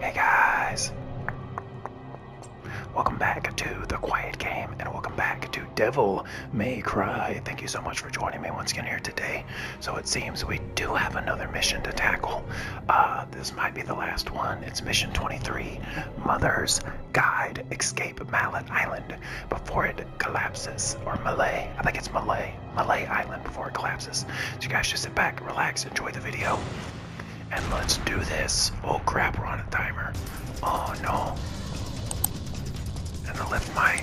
Hey guys! Welcome back to The Quiet Game and welcome back to Devil May Cry. Thank you so much for joining me once again here today. So it seems we do have another mission to tackle. Uh, this might be the last one. It's Mission 23, Mother's Guide Escape Mallet Island before it collapses, or Malay. I think it's Malay. Malay Island before it collapses. So you guys just sit back, relax, enjoy the video, and let's do this. Oh crap, we're on a timer. Oh no. And I left my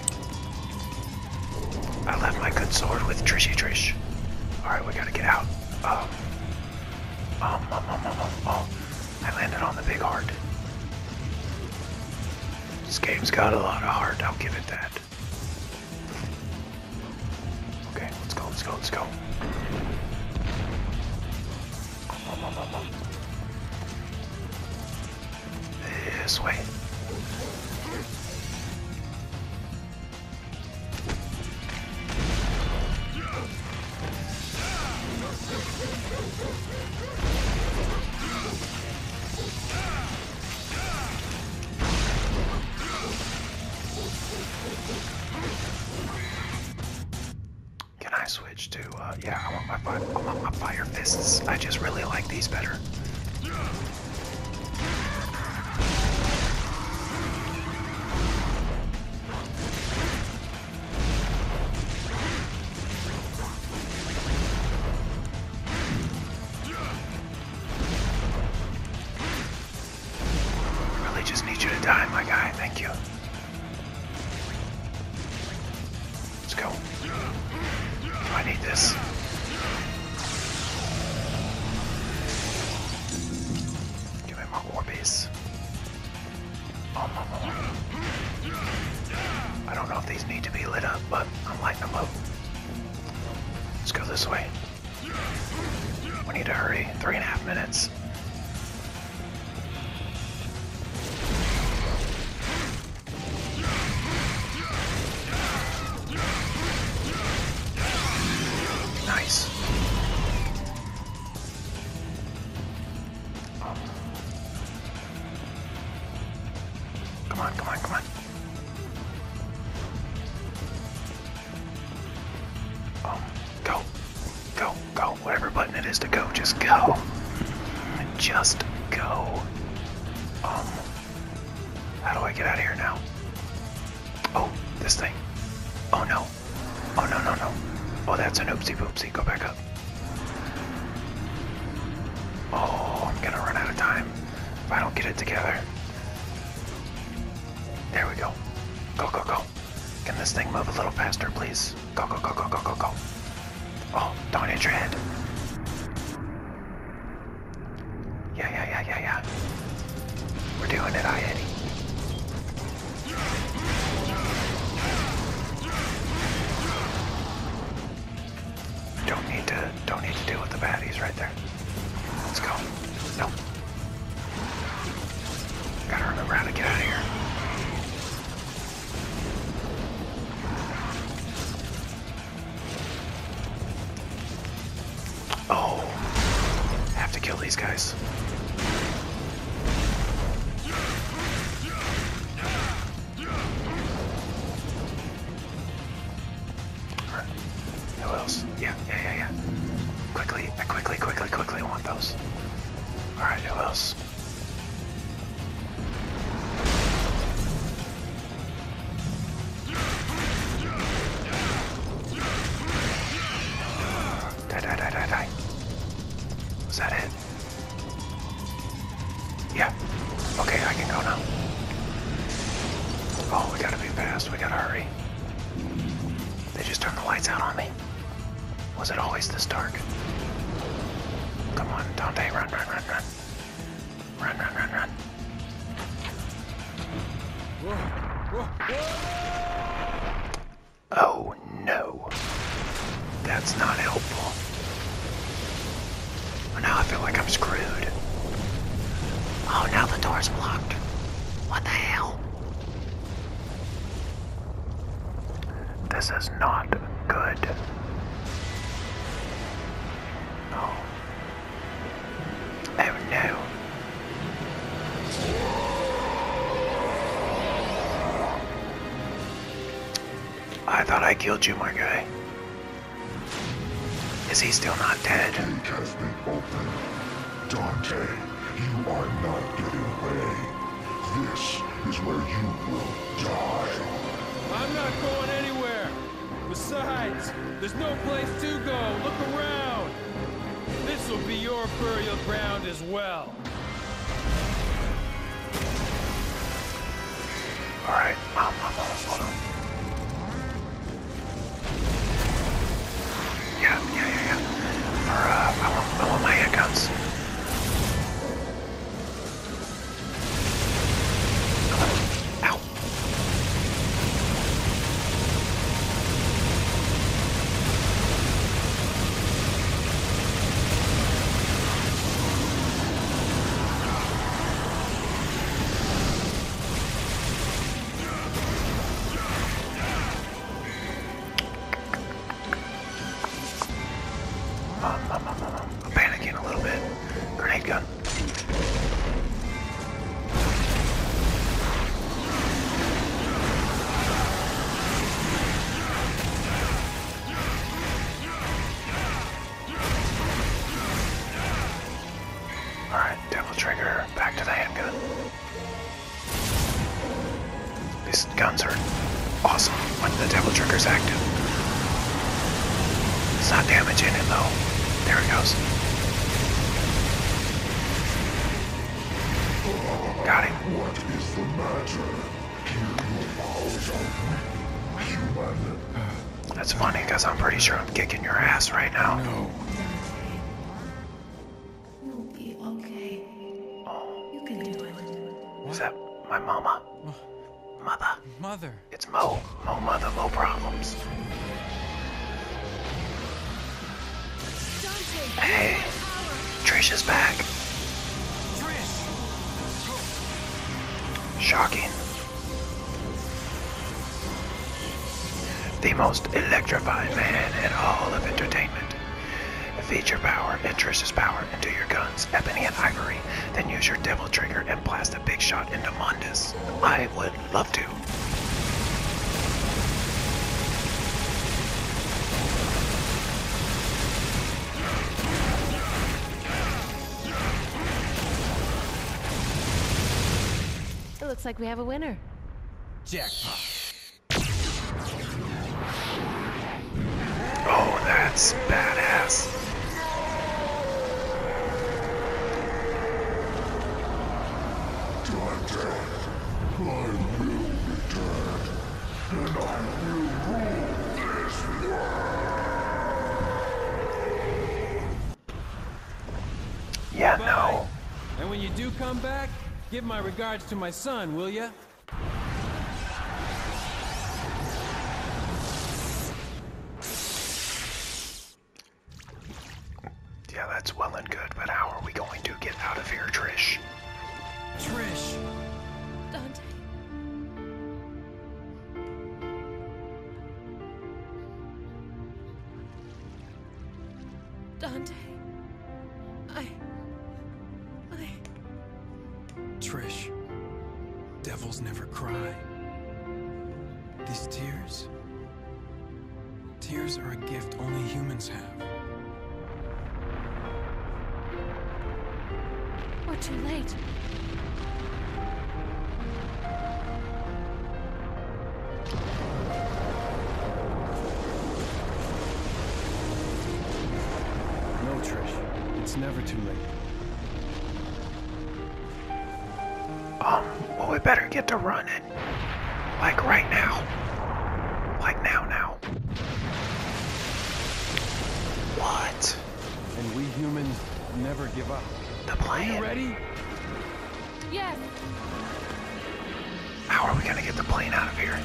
I left my good sword with Trishy Trish. Alright, we gotta get out. Um, um, um, um, um, um, oh, I landed on the big heart. This game's got a lot of heart, I'll give it that. Okay, let's go, let's go, let's go. this way. Can I switch to, uh, yeah, I want my, I want my fire fists. I just really like these better. I really just need you to die, my guy. Thank you. Let's go. I need this. Give me my Orbeez. Oh, my Lord. I don't know if these need to be lit up, but I'm lighting them up. Let's go this way. We need to hurry. Three and a half minutes. Nice. Come on, come on, come on. Um, go. Go, go. Whatever button it is to go, just go. Just go. Um, how do I get out of here now? Oh, this thing. Oh no. Oh no, no, no. Oh, that's an oopsie poopsie. Go back up. Oh, I'm gonna run out of time if I don't get it together. There we go. Go, go, go. Can this thing move a little faster, please? Go, go, go, go, go, go, go. Oh, don't hit your head. Yeah, yeah, yeah, yeah, yeah. We're doing it, I Eddie. Don't need to don't need to deal with the baddies right there. Let's go. Nope. Gotta remember how to get out of here. Oh, have to kill these guys. Who else? Yeah, yeah, yeah, yeah. Quickly, I quickly, quickly, quickly want those. Alright, who else? Die, die, die, die, die. Was that it? Yeah. Okay, I can go now. Oh, we gotta be fast. We gotta hurry. They just turned the lights out on me. Was it always this dark? Come on, Dante, run, run, run, run. Run, run, run, run. Oh no. That's not helpful. Well, now I feel like I'm screwed. Oh, now the door's locked. What the hell? This is not good. Oh. Oh no. I thought I killed you, my guy. Is he still not dead? gate has been opened. Dante, you are not getting away. This is where you will die. I'm not going anywhere. Besides, there's no place to go. Look around. This will be your burial ground as well. Alright, Yeah, yeah, yeah, yeah. Or, uh, I want, I want my handguns. Ow. Um, um, um, um, I'm panicking a little bit. Grenade gun. Alright, double trigger, back to the handgun. These guns are awesome when the double trigger's active. It's not damaging it though. There it goes. Got him. What is the matter? That's funny because I'm pretty sure I'm kicking your ass right now. No. you that my mama? Mother. Mother. It's Mo. Mo mother, Mo problems. Hey. Trisha's back. Trish. Shocking. The most electrified man in all of entertainment. Feed your power and Trish's power into your guns, Ebony and Ivory, then use your Devil Trigger and blast a big shot into Mundus. I would love to. It looks like we have a winner. Jackpot. Oh, that's badass. Time I will return and Yeah, no. And when you do come back, give my regards to my son, will ya? Yeah, that's well and good, but how are we going to get out of here, Trish? Trish! Dante. Dante. I. I. Trish. Devils never cry. These tears. Tears are a gift only humans have. We're too late. No, Trish. It's never too late. Um, well, we better get to running. Like right now. Like now, now. What? And we humans never give up. The plane. Are you ready? Yes. How are we gonna get the plane out of here?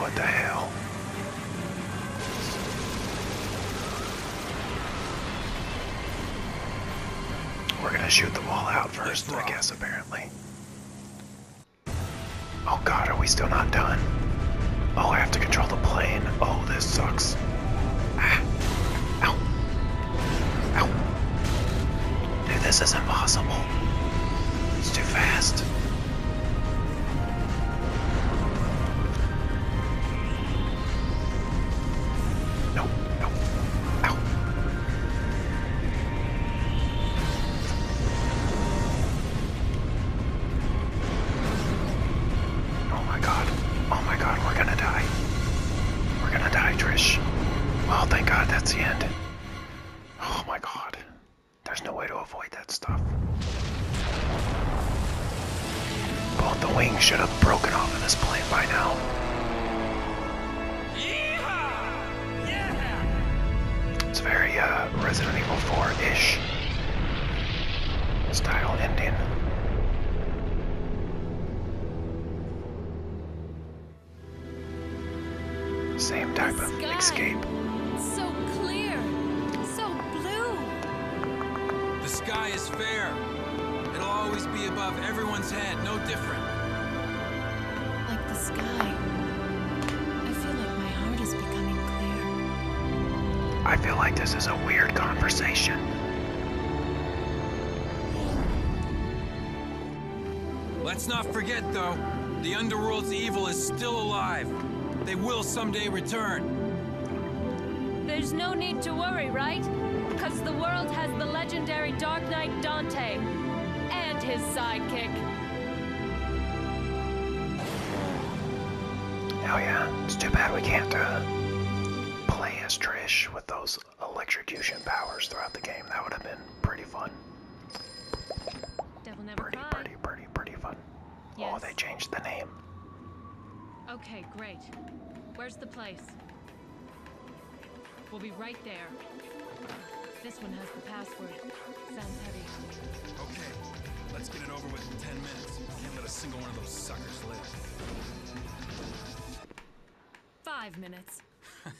What the hell? We're gonna shoot the wall out first, I guess, apparently. Oh god, are we still not done? Oh, I have to control the plane. Oh, this sucks. Ah. Dude, this is impossible. It's too fast. No, Oh my god. Oh my god, we're gonna die. We're gonna die, Trish. Well, oh, thank god that's the end. Oh my god. There's no way to avoid that stuff. Both the wings should have broken off of this plane by now. It's very uh, Resident Evil 4-ish style ending. Same type of escape. So clear, so blue. The sky is fair. It'll always be above everyone's head, no different. Like the sky. I feel like my heart is becoming clear. I feel like this is a weird conversation. Let's not forget, though, the Underworld's evil is still alive. They will someday return. There's no need to worry, right? Because the world has the legendary Dark Dark Dante and his sidekick. Oh yeah, it's too bad we can't uh, play as Trish with those electrocution powers throughout the game. That would have been pretty fun. pretty, pretty, pretty, pretty fun. Oh, they changed the name. Okay, great. Where's the place? We'll be right there. This one has the password. Sounds heavy. Okay, let's get it over with 10 minutes. Can't let a single one of those suckers live. Five minutes.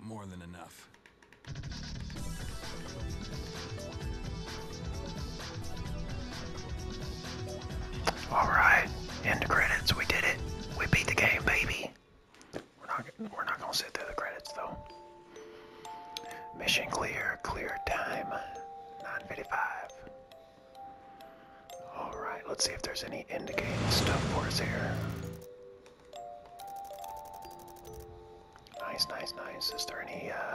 More than enough. All right, end of credits. We did it. We beat the game, baby. We're not. We're not gonna sit through the credits though. Mission clear. Clear time. 9:55. All right. Let's see if there's any end game stuff for us here. Nice, nice, nice. Is there any uh,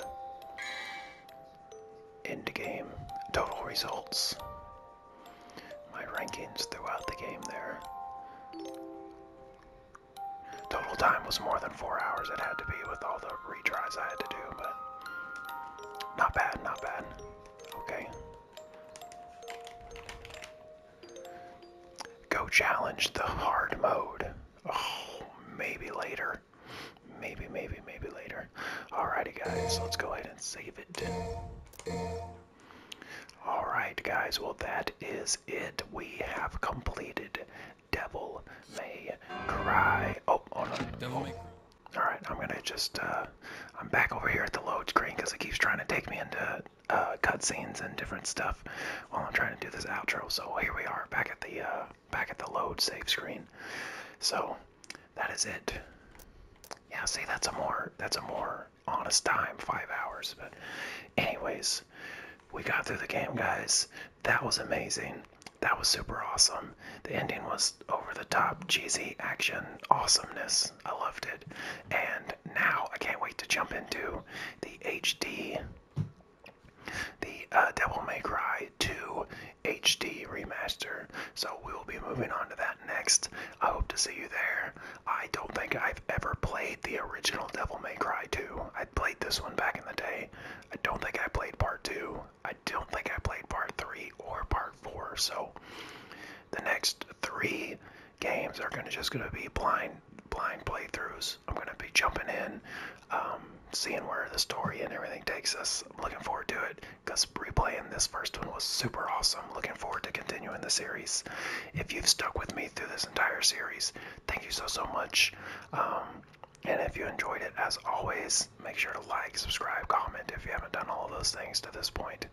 end game total results? my rankings throughout the game there. Total time was more than four hours, it had to be with all the retries I had to do, but not bad, not bad. Okay. Go challenge the hard mode. Oh, maybe later. Maybe, maybe, maybe later there. Alrighty, guys, let's go ahead and save it. Alright, guys, well, that is it. We have completed Devil May Cry. Oh, oh no. Devil May oh. Alright, I'm gonna just, uh, I'm back over here at the load screen because it keeps trying to take me into uh, cutscenes and different stuff while I'm trying to do this outro. So here we are, back at the, uh, back at the load save screen. So, that is it. Yeah, see, that's a more that's a more honest time, five hours. But, anyways, we got through the game, guys. That was amazing. That was super awesome. The ending was over the top, cheesy action, awesomeness. I loved it. And now I can't wait to jump into the HD, the uh, Devil May Cry 2 HD remaster. So we will be moving on to that next. I hope to see you there. I don't think I've ever played the original Devil May Cry 2. I played this one back in the day. I don't think I played part 2. I don't think I played part 3 or part 4. So the next 3 games are going to just going to be blind blind playthroughs. I'm going to be jumping in, um, seeing where the story and everything takes us. I'm looking forward to it because replaying this first one was super awesome. Looking forward to continuing the series. If you've stuck with me through this entire series, thank you so, so much. Um, and if you enjoyed it, as always, make sure to like, subscribe, comment if you haven't done all those things to this point.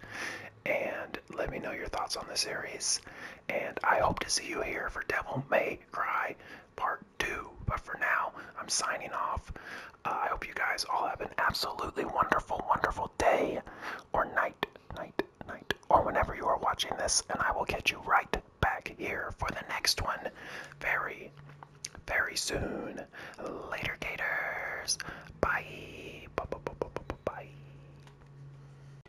And let me know your thoughts on the series. And I hope to see you here for Devil May Cry Part 2. But for now, I'm signing off. Uh, I hope you guys all have an absolutely wonderful, wonderful day or night, night, night, or whenever you are watching this, and I will get you right back here for the next one very, very soon. Later, Gators. Bye. Bye. Bye. Bye. bye.